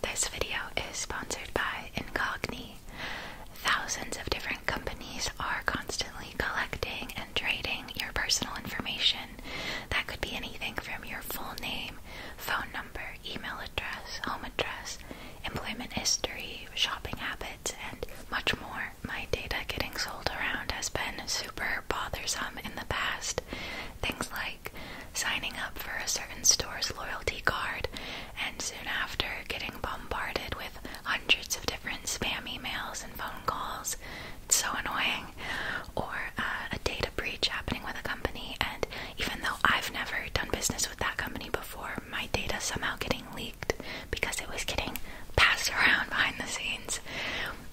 This video is sponsored by Incogni. Thousands of different companies are constantly collecting and trading your personal information. That could be anything from your full name, phone number, email address, home address, employment history, shopping habits, and much more. My data getting sold around has been super bothersome in the past, Things like signing up for a certain store's loyalty card and soon after getting bombarded with hundreds of different spam emails and phone calls. It's so annoying. Or uh, a data breach happening with a company, and even though I've never done business with that company before, my data somehow getting leaked because it was getting passed around behind the scenes.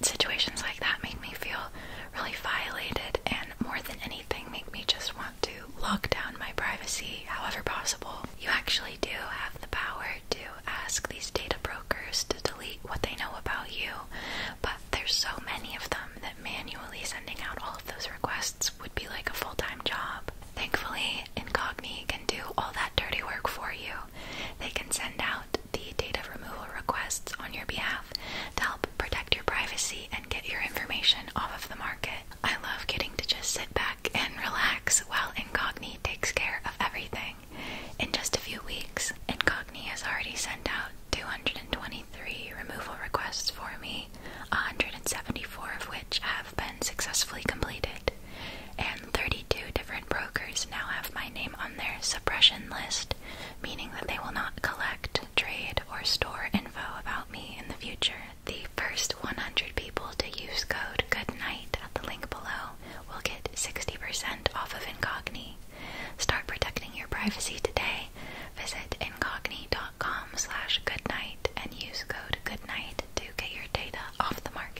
Situations like that make me feel really violated, and more than anything, make me just to lock down my privacy however possible, you actually do have the power to ask these data brokers to delete what they know about you. But there's so many of them that manually sending out all of those requests would be like a full time job. Thankfully, Incogni can do all that dirty work for you. They can send out the data removal requests on your behalf to help protect your privacy and get your information off of the market. I love getting to just sit back and relax while Incogni takes care of everything. In just a few weeks, Incogni has already sent out 223 removal requests for me, 174 of which have been successfully completed, and 32 different brokers now have my name on their suppression list, meaning that they will not collect trade, or store info about me in the future, the first 100 people to use code GOODNIGHT at the link below will get 60% off of Incogni. Start protecting your privacy today. Visit incogni.com slash goodnight and use code goodnight to get your data off the market.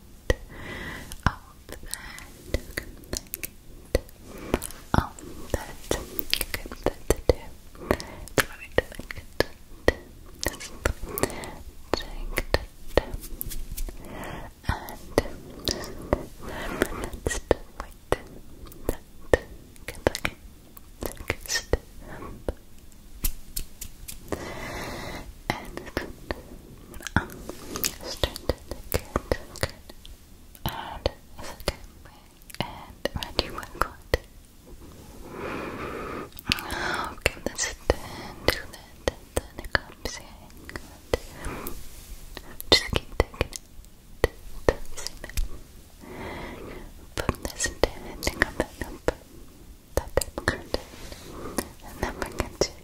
of that, good, good. of that, good, that, too. It's right, good, just take that, and just let's do it, that, good, okay, good, step, and Straight good, good. And a second way. And ready one good. Okay, let's then do that. Then it comes in. Just keep taking it. Dancing it. Put this in and think of that number. That type of And then we can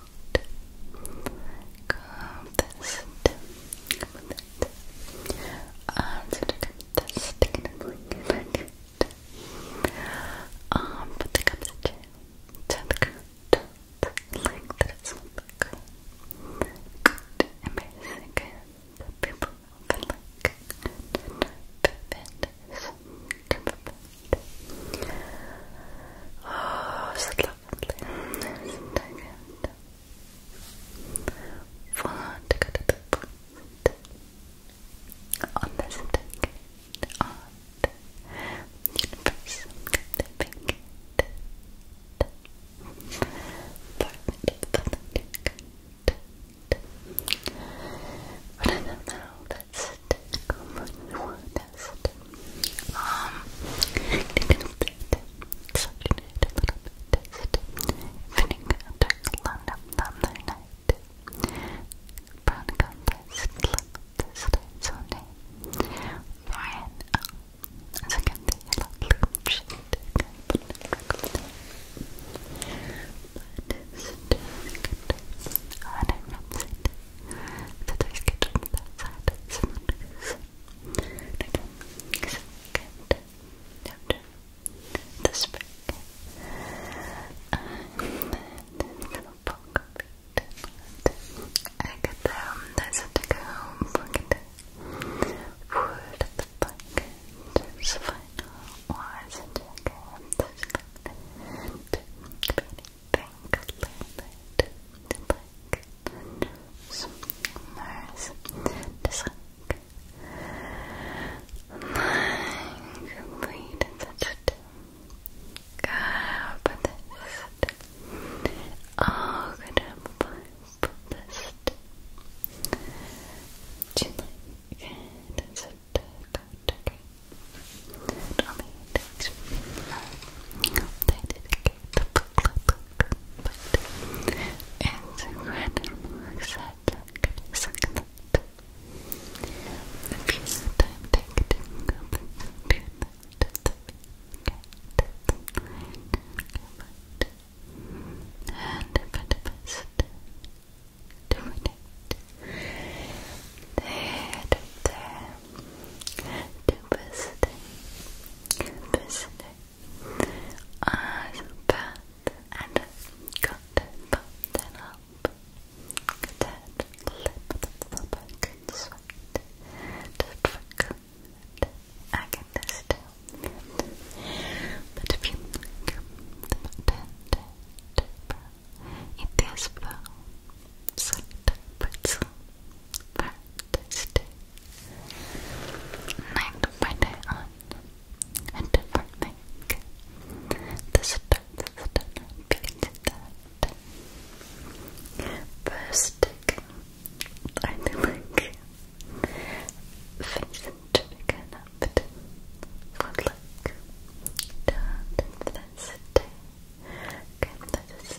coat. Contest. Um, so to contest, taking a blink back. Um, put the cup to the chin, to the coat, like that it's not that good. Good, amazing, good. People will be like, perfect, perfect. Oh, so lovely. Sometimes Want to go to the point on this ticket on the universe the big but I don't know, that's it. Come on, you want test. Um, taking a bit, sucking it a little bit, test. Evening after London, Thunder night. Brown compass, clip this time's on day. Ryan, oh, as I can see, a lovely shade. But it's good. And I remember it. That I get on that side. Okay, so the spring. And then little I get them. There's a take home pocket. Wood at the pocket. Just final was a jacket. Just got it. Could be anything. Could dus, neus, de schrik. Mijn gebieden dat het karpentest, ogen en pijpentest. Chillig, dat is het, forget the except I if you have time, to that and if it is doing it there, there to visit, visit as bad and cut button up, that lip back and sweat, to trick I can still but if you look it is well, so pretzel, fantastic, Night by day on, a different thing. This starts the dinner, begins that. First, I do like face and chicken up. Good luck. Down to this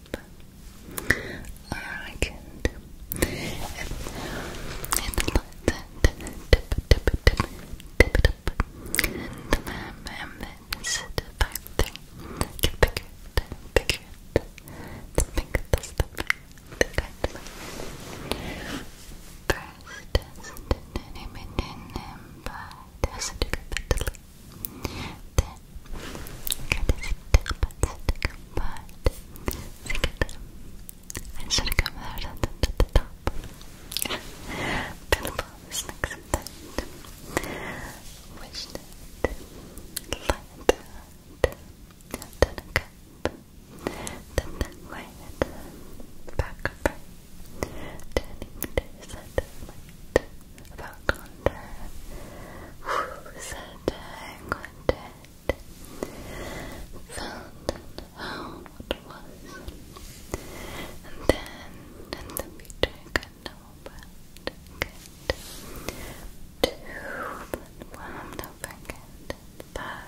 Argent and, and let tip it, tip it, tip it up and ma'am and sit back there get bigger, bigger the bigger the stuff the kind of first test and then but as a different then Stick butt, stick butt. Stick it. I should have come out at the, the top. Pinnable is next to that. Wish that. Light that. Then a cup. Then that way. Back up. Turning to the side of the light about Conda. Said Quintet felt how it was, and then in the future could know about good. Two, one, don't forget that.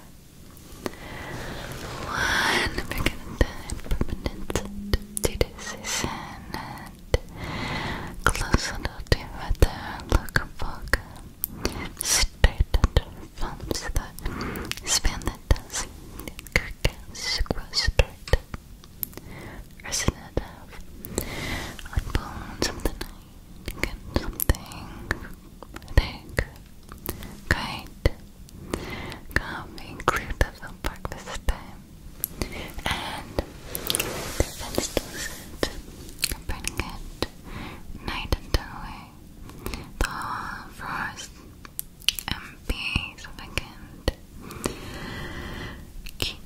One, forget that permanent decision it close enough to her there, look focus straight at her thumbs the span that does crickets grow straight resonant on bones of the night get something take kite coffee include the film park this time and the fenced lizard, burning it night and day. The whole forest and be sufficient. Keep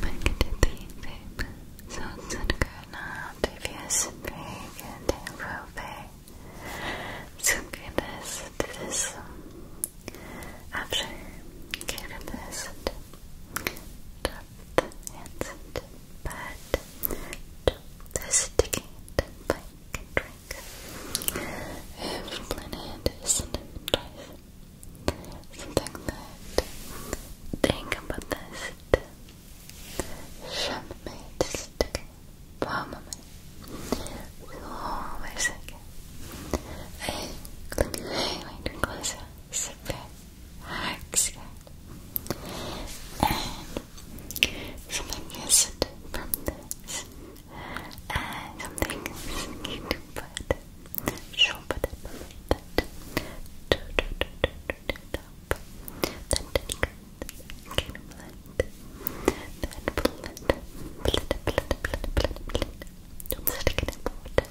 back into the tape. So it's good now to use big and improve. So goodness, this. After gave him this tough and bad to this drink. If planet isn't something that think about this Shammate stick bomb will always again. Hey, look, hey, my drink was Süper. Güzel. And something isn't from this. And something is need to put. Show put it on that. Do, do, do, do, do, do, do. Then take it. Can blend. Then blend. Blend, blend, blend, blend, blend. Don't stick it in water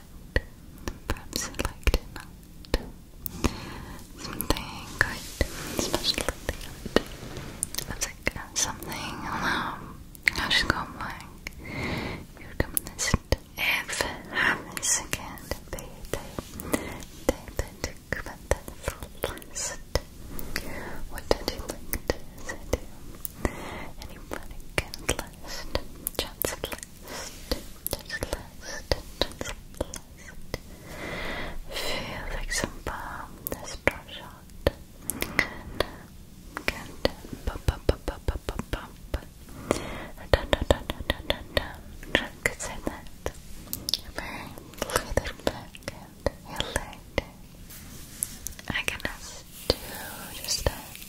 but perhaps you liked it not. Something good, especially the end. That's like uh, something, um, I should go blank. You come this if happens again, be they, they, they, but that's last. What did you like to say to you? Anybody can list, just Feel like some balm, this brush out. and I can just do just that.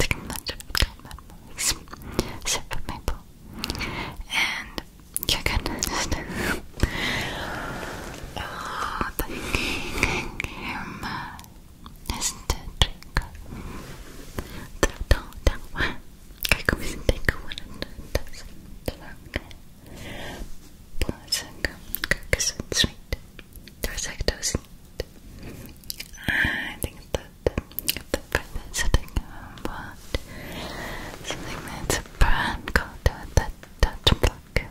segmented memories. Sip maple. And you're gonna just Oh the camera is the drink. The don't don't want I come and one and doesn't Plus, it's sweet there's lactose in I think that the pregnant setting um, about something that's a brand called the Dutch block.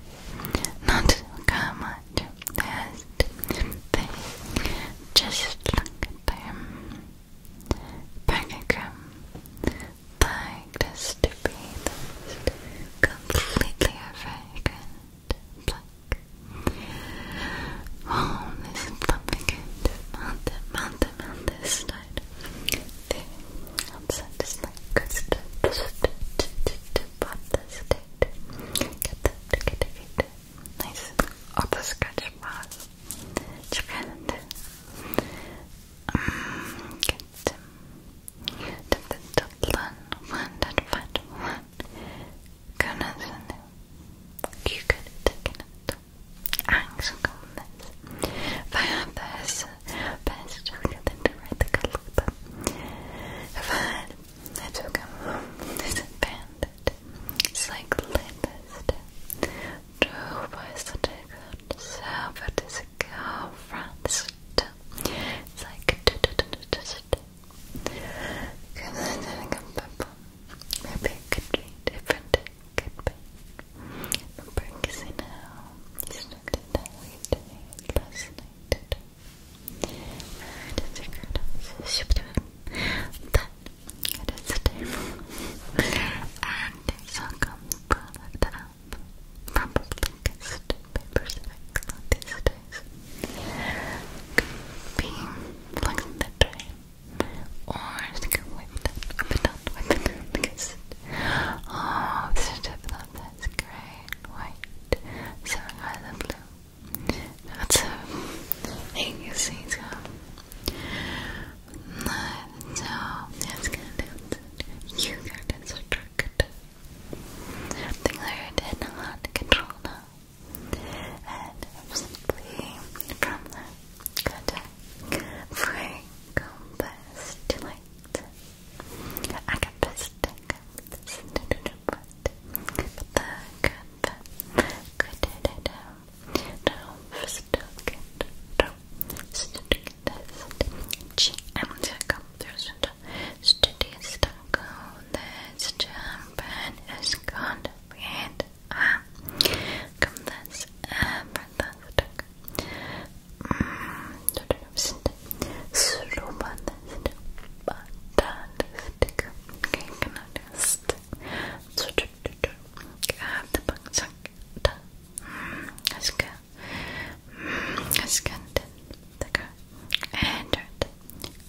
Not much as they just look at them. pentagram like this to be completely irrelevant black. Oh, this is something good. Mountain, mountain, on this side. The outside is like crystal. Just pop this date. Get that, get it, Nice. Auto scratch box. Chickened. Um, get them. Dip the top one, one, that Kunna sen Kukade tecknet. Ang som kommer. För bäst, bäst jag kan inte write the kalpa. För jag tog en this bandit. It's like latest. Drove by Sadegat. Server this girl France. It's like because I didn't get purple. Maybe it could be different. Could be. I'm practicing now. Just look at that we did last night. And it's a good that it is a table. and it's all come product up from Blinkist, Paper Sack, be flexing that way or just go wipe it out, wipe it because oh, this is tip that that's white, so I the blue that's a thing you see, so so, that's gonna you got it, so dark it things are in control now and simply from the cutter free compass to light. I got this, I got but the cutter could it down. No, Studies, G. I'm the computer. Studies, this champion is called Reed Ah. Come this fantastic. Mm, fantastic. Okay, can I just grab the book? That's mm, good. That's mm, good. The girl entered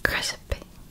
crispy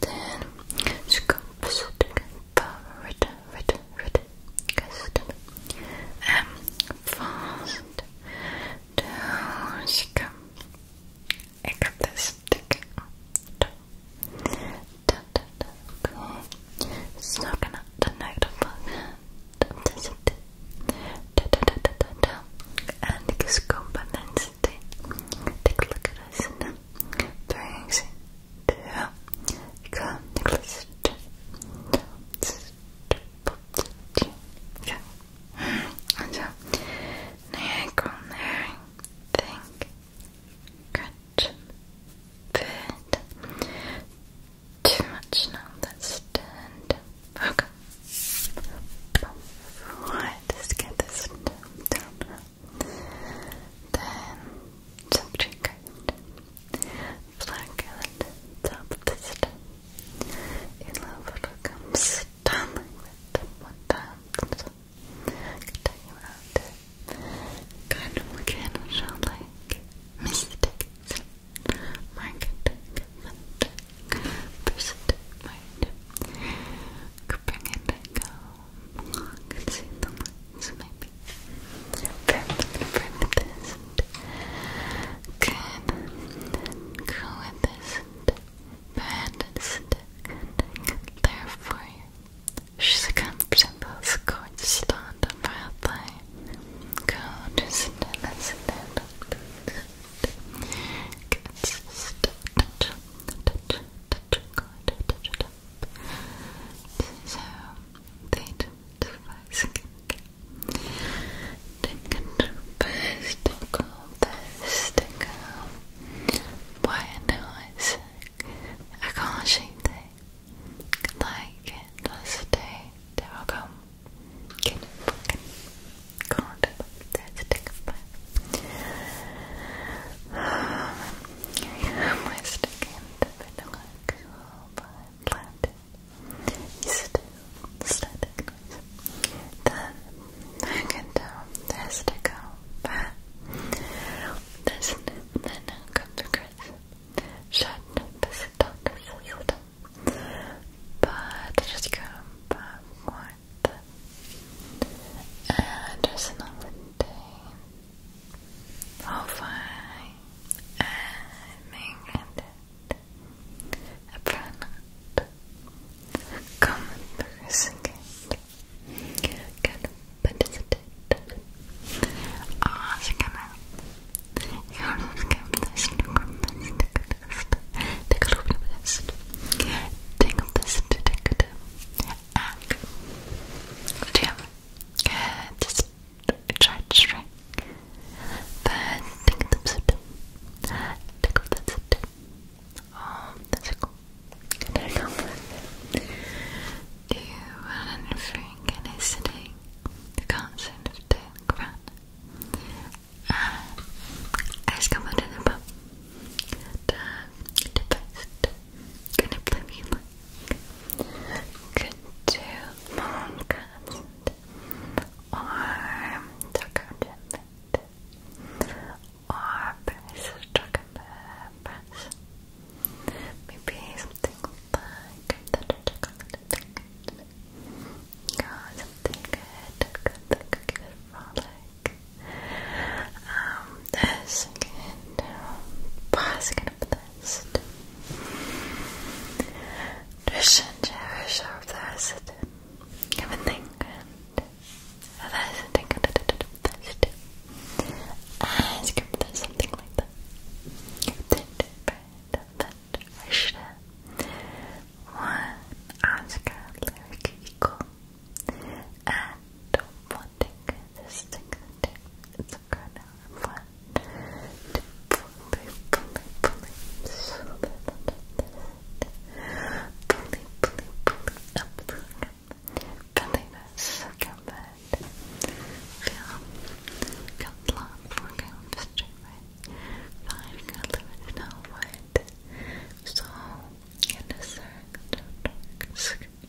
Then composite favorite, red, red, custom, um, M fast, down, scum. I got this stick. Da, da, da, okay. Snocking up the night of love. Da, da, da, da, da, da. And this component, take a look at us. Brings 이거 necklace 먼저 내 건을 think 같은 bit too much now that's stand okay let's get this down then subject card. Black top of the You love comes stumbling with them one time. So out. Kind of mechanical like mistakes. Market consent. Persist mind. Bring it and go. I can see the lines maybe. Perfect, perfect, not Good. Then go bad, isn't Good. There for you. She's a competent Go to stand and stand touch, touch, touch so they don't first They can do best to go, best to Why noise? I can't shake they like it they will come. Get it fucking can't that's a take a bath. You're sticking to intellectual by planted. Still static noise. Then I can tell this to go back. This then i to Chris. Shut the system, the system. But just go backward. And just not maintain Ovai Ermengedit Apranat Common Persicate Good Pedicitate Aasikana Yoroskamdist Nukrumist Decadist Decadist Decadist Decadist ak Tüm Çarçırı Ve tıkıdım sürdüm Tıkıldım sürdüm Tıkıldım Can I compliment? Do you want anything? Can I sit in the concert of the crown? Uh, ah, I just come out of the pub. The, the best gonna blame you like could do long cuts or tuck out or press tuck and press maybe something like that or something good good, good, good, good frolic um, the second basket of dust. Dushanche Harsha of the Hasid. Come and think. And I think of the Hasid. Skip something like that. That Harsha. One Oscar lyric equal. And one tick, this tick, tick, it's a kernel of one, two, pulley, pulley, pulley, so that, pulley, pulley, pulley, up through, pulling a circumvent, film, count long, four count, straight right, five, count limited, now what, so, in a circle, circle,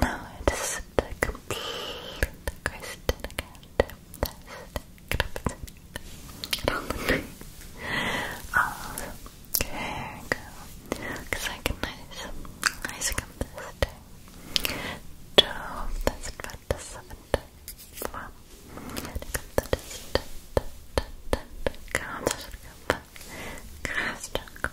Now it's the complete Kristen again. Fantastic. Awesome. There you go. Because I can nice, nice complicity. So that's about the seventh. Wow. Come, come, come, come, come, come, come, come, come, come, come,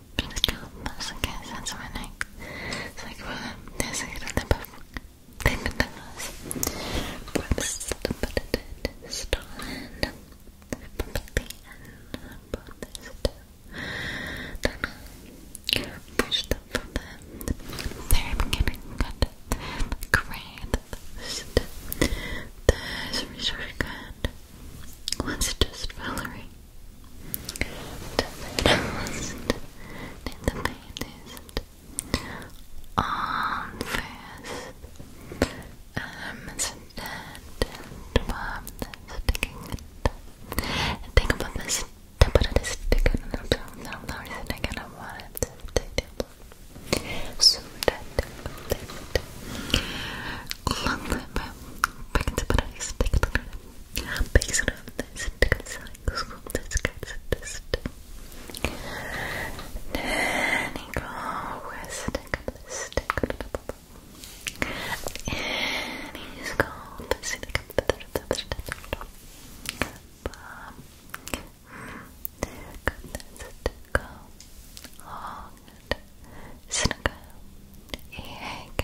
Please calm us again, sense my neck. It's like, well, there's a little bit of thing in the house. Perhaps the bullet is stolen. Probably, and brought this to Donna. Pushed up from the very beginning, got great. There's Richard Gunn. Once just Valerie to the nose the baddest on first arms and warm the sticking and think about this to put it a stick on the tongue now the reason I kind of want it to take it so that that that clunk it back to put it a stick on the based on this cycle this gets this then you go with the stick and he's called the stick Snuggle, EAK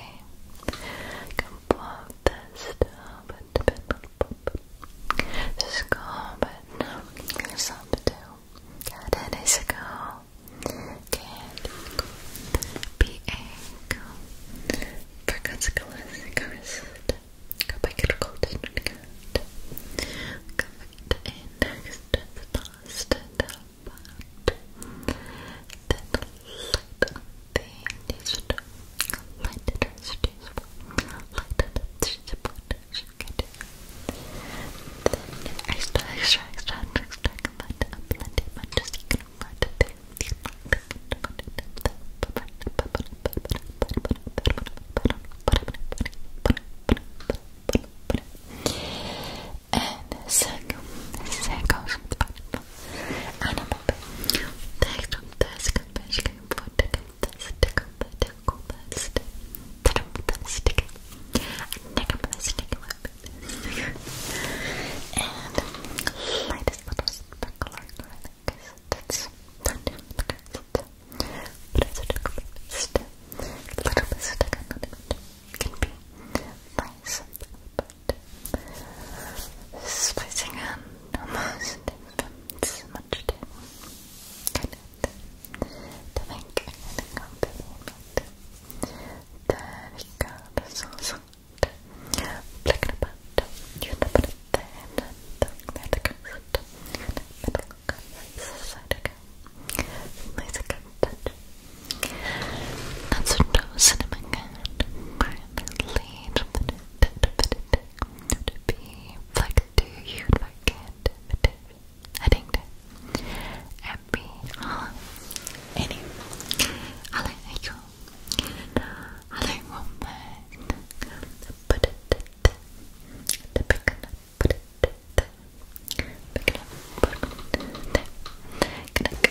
complete this this goal, but no, there's something to do. Got it is a goal. Can't be a goal. Forgots classic wrist. Go back cut. Go and about. Then light up. Light extra, extra, extra, extra, but plenty, but just you can let it and second, second, أنا مو تذكر تذكر تذكر تذكر تذكر تذكر تذكر تذكر and lightest little sparkle that's not but it's a little bit little bit can be nice but spicing on almost infants much too kind of to make anything compliment there you go, that's awesome flick it about, and then there the middle cut, this side again nice cut touch and some cinnamon can definitely, to be like to you like it. I think that happy. Hello, any? Hello, you. Hello, woman. Put it. Pick it up. Put it. Pick it up. Put it. Pick it up. Put it.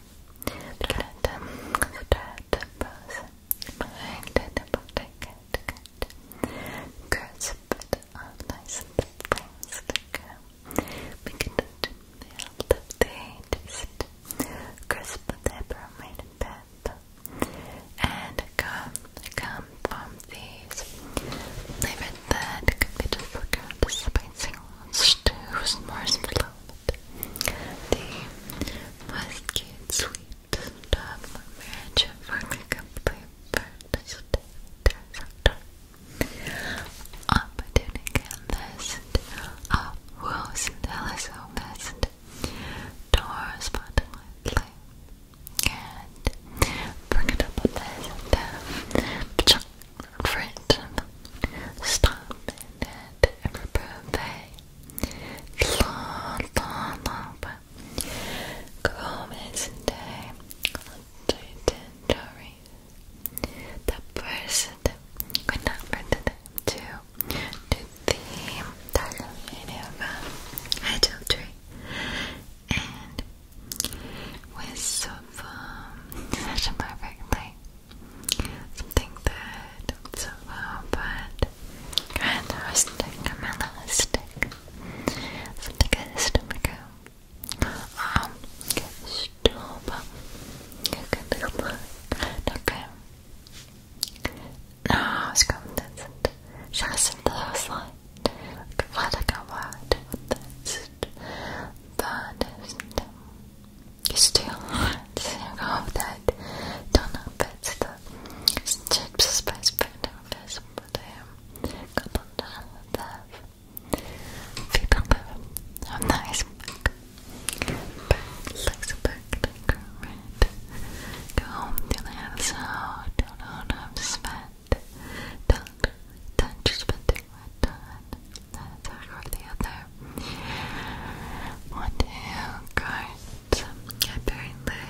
Good. Good person. Good. Good. Good. Good. Bit of nice things that we can do. The update is crisp peppermint pep and come come from these. Leave it that could be difficult. Spicing ones too. S'mores below out the Muscade Sweet Dog Marriage for the Complete Birthday and LSO List Doors and bring it up a bit and uh, friend stop and it every birthday. Love, love, love. Chrome is day. The person could not pretend to do the title video of adultery and with so um, such a something that not so well, but kind of a stick, stick, something that is typical. Um, stop. You can do Okay. No, it's content. Just the last line. What I can write on this. That still go with that don't know if it's the chips spice brand but I am couple that fetal live a nice book but looks back to current go home till I have so don't know what I've don't touch spending my time there or the other. One two cards. Apparently,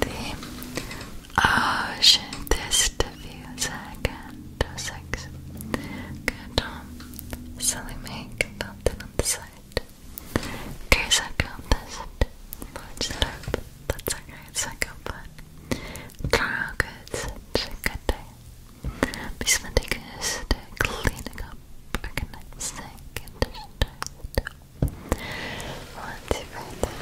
the ocean test view second six. Good. Silly make fountain on the side. Okay, second test. Watch that. That's a great second one. Draw good. Good day. Miss Van Dyke is cleaning up, organizing, and just want to write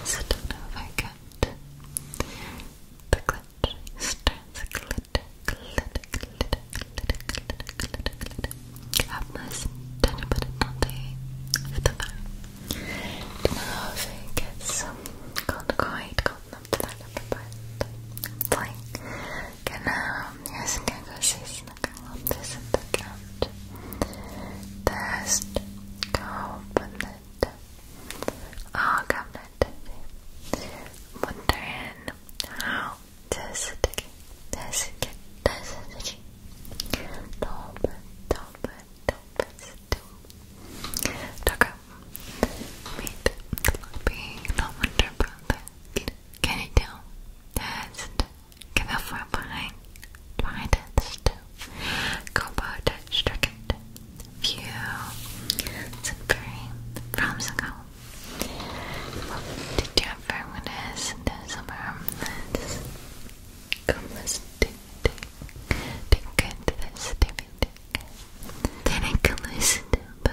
this. I don't know if I got the glitter, starts glitter, glitter, glitter, glitter, glitter, glitter, glitter. Have nice tiny bit of the phone. Now if it gets um, Blink. Genau, hier sind keine Geschichten gegangen. Wir sind bekannt. Der ist gehobenet. Augenet. Mundrin. Hau. Der ist dick. Der ist dick. Der ist dick. Dope, dope, dope, dope. Dope. Meet. Be. No wonder about that. Can you do test? Kaffa behind try this too. Combo touch target view. It's very from the Did you ever want some harmless? Come let's do take it to this TV ticket. Then I can listen to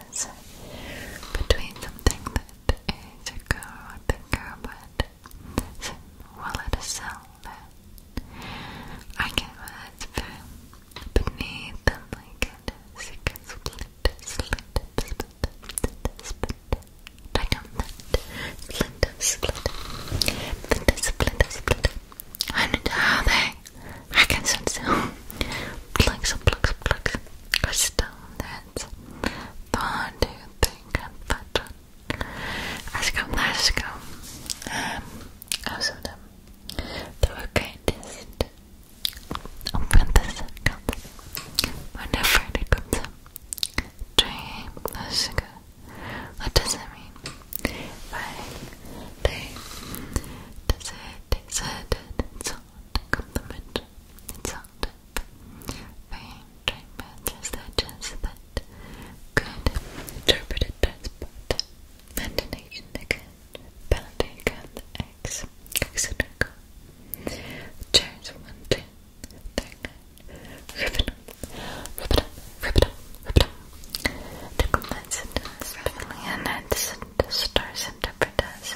difference between something that is a carrot and carrot so, well it is sound I can it's beneath them like it is you can split split split split split like on that split split split split split and how they I can sit still. Plugs, plugs, plugs. Are still that. But do you think I'm fat? Aşk um, aşkım. Özledim. Tavukay test. Open this account. Whenever it comes up. Dream aşkı. What does it mean? Bye. Day. Does it? Is it? It's sound complement. It sounded very tribal researchers that could interpret it as both ventilation account, penalty account, X, etc. Chairs 1, 2, 3, 9, ribbon, ribbon, ribbon, ribbon. The commencement is revealing and the stars interpret as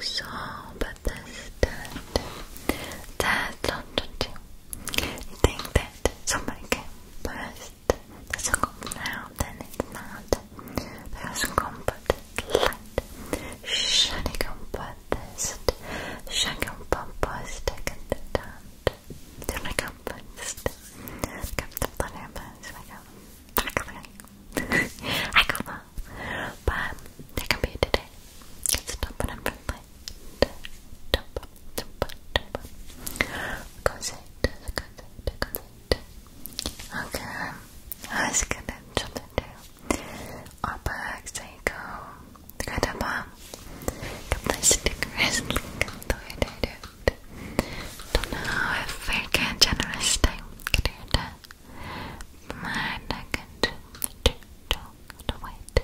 so, but that. That's not think that somebody can burst the circle now, then it's not. There's comfort light. Shining comfort this. Shining comfort second time. Şuna kapat işte. Kapattıklarımı şuna kapat. Tackling. I go on. But there can be a today. It's top and I'm friendly. Dump, dump, dump. Concept, concept, concept. Okay. Aşkın çatı diyor. Apa, Seiko. Katapa Katapa stickers Don't know if I can generous time Katapa Managat to wait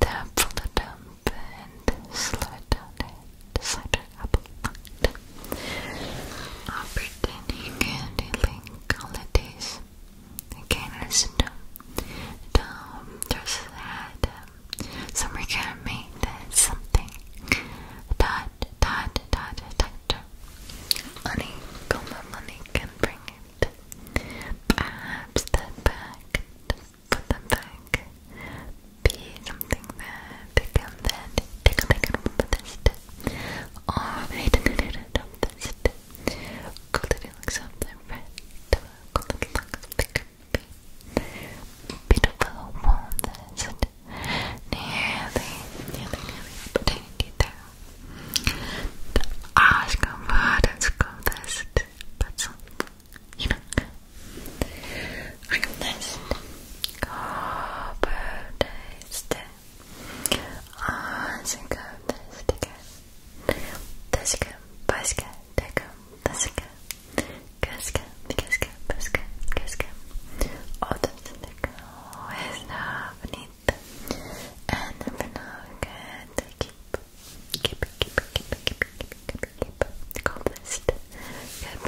The bullet dump and slow it down and slide up a lot Opportunity candy link holidays Again, listen to Tom, there's that some recommended something that that that doctor money come on money can bring it perhaps that back put them back be something that become that take a take a with this or they didn't get it this Golden looks up the red, golden looks bigger, beautiful walnuts nearly, nearly, nearly potato there I'll go for it, let's go first but, you know I go first go for taste I'll go Kaska, Kaska, Kaska, Kaska. Altijd lekker. Oh, is nou niet. En vandaag de kip. Kip, kip, kip, kip, kip, kip. Ik hoop dat je bent.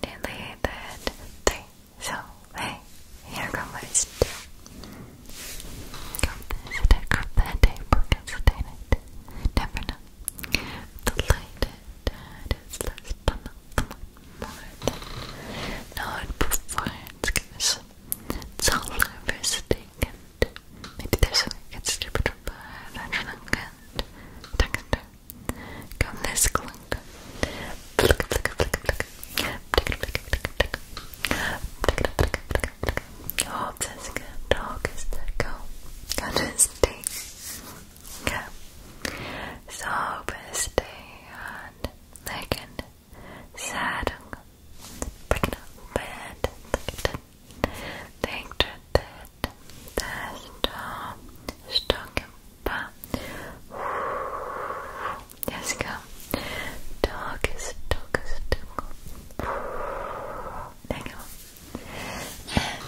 Nearly dead. Three. here comes. Ik hoop dat je Never know. The light is less than the more no it performs gives it's all over maybe there's a way it gets stupider, but don't come this clunk Hopsasika Torkistako Kadesti Sobesti and Legend Sadung Breaking up bed Think to that That's all Stocking Pa Jessica Dog is dog is dog länger. And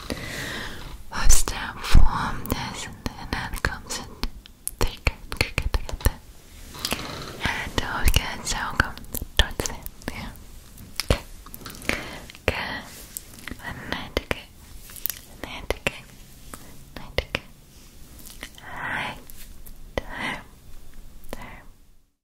once and then comes in thick, thick, And those will come towards them. Yeah. Okay. Okay. And night again. Night again. Night again. Alright. Time. Time.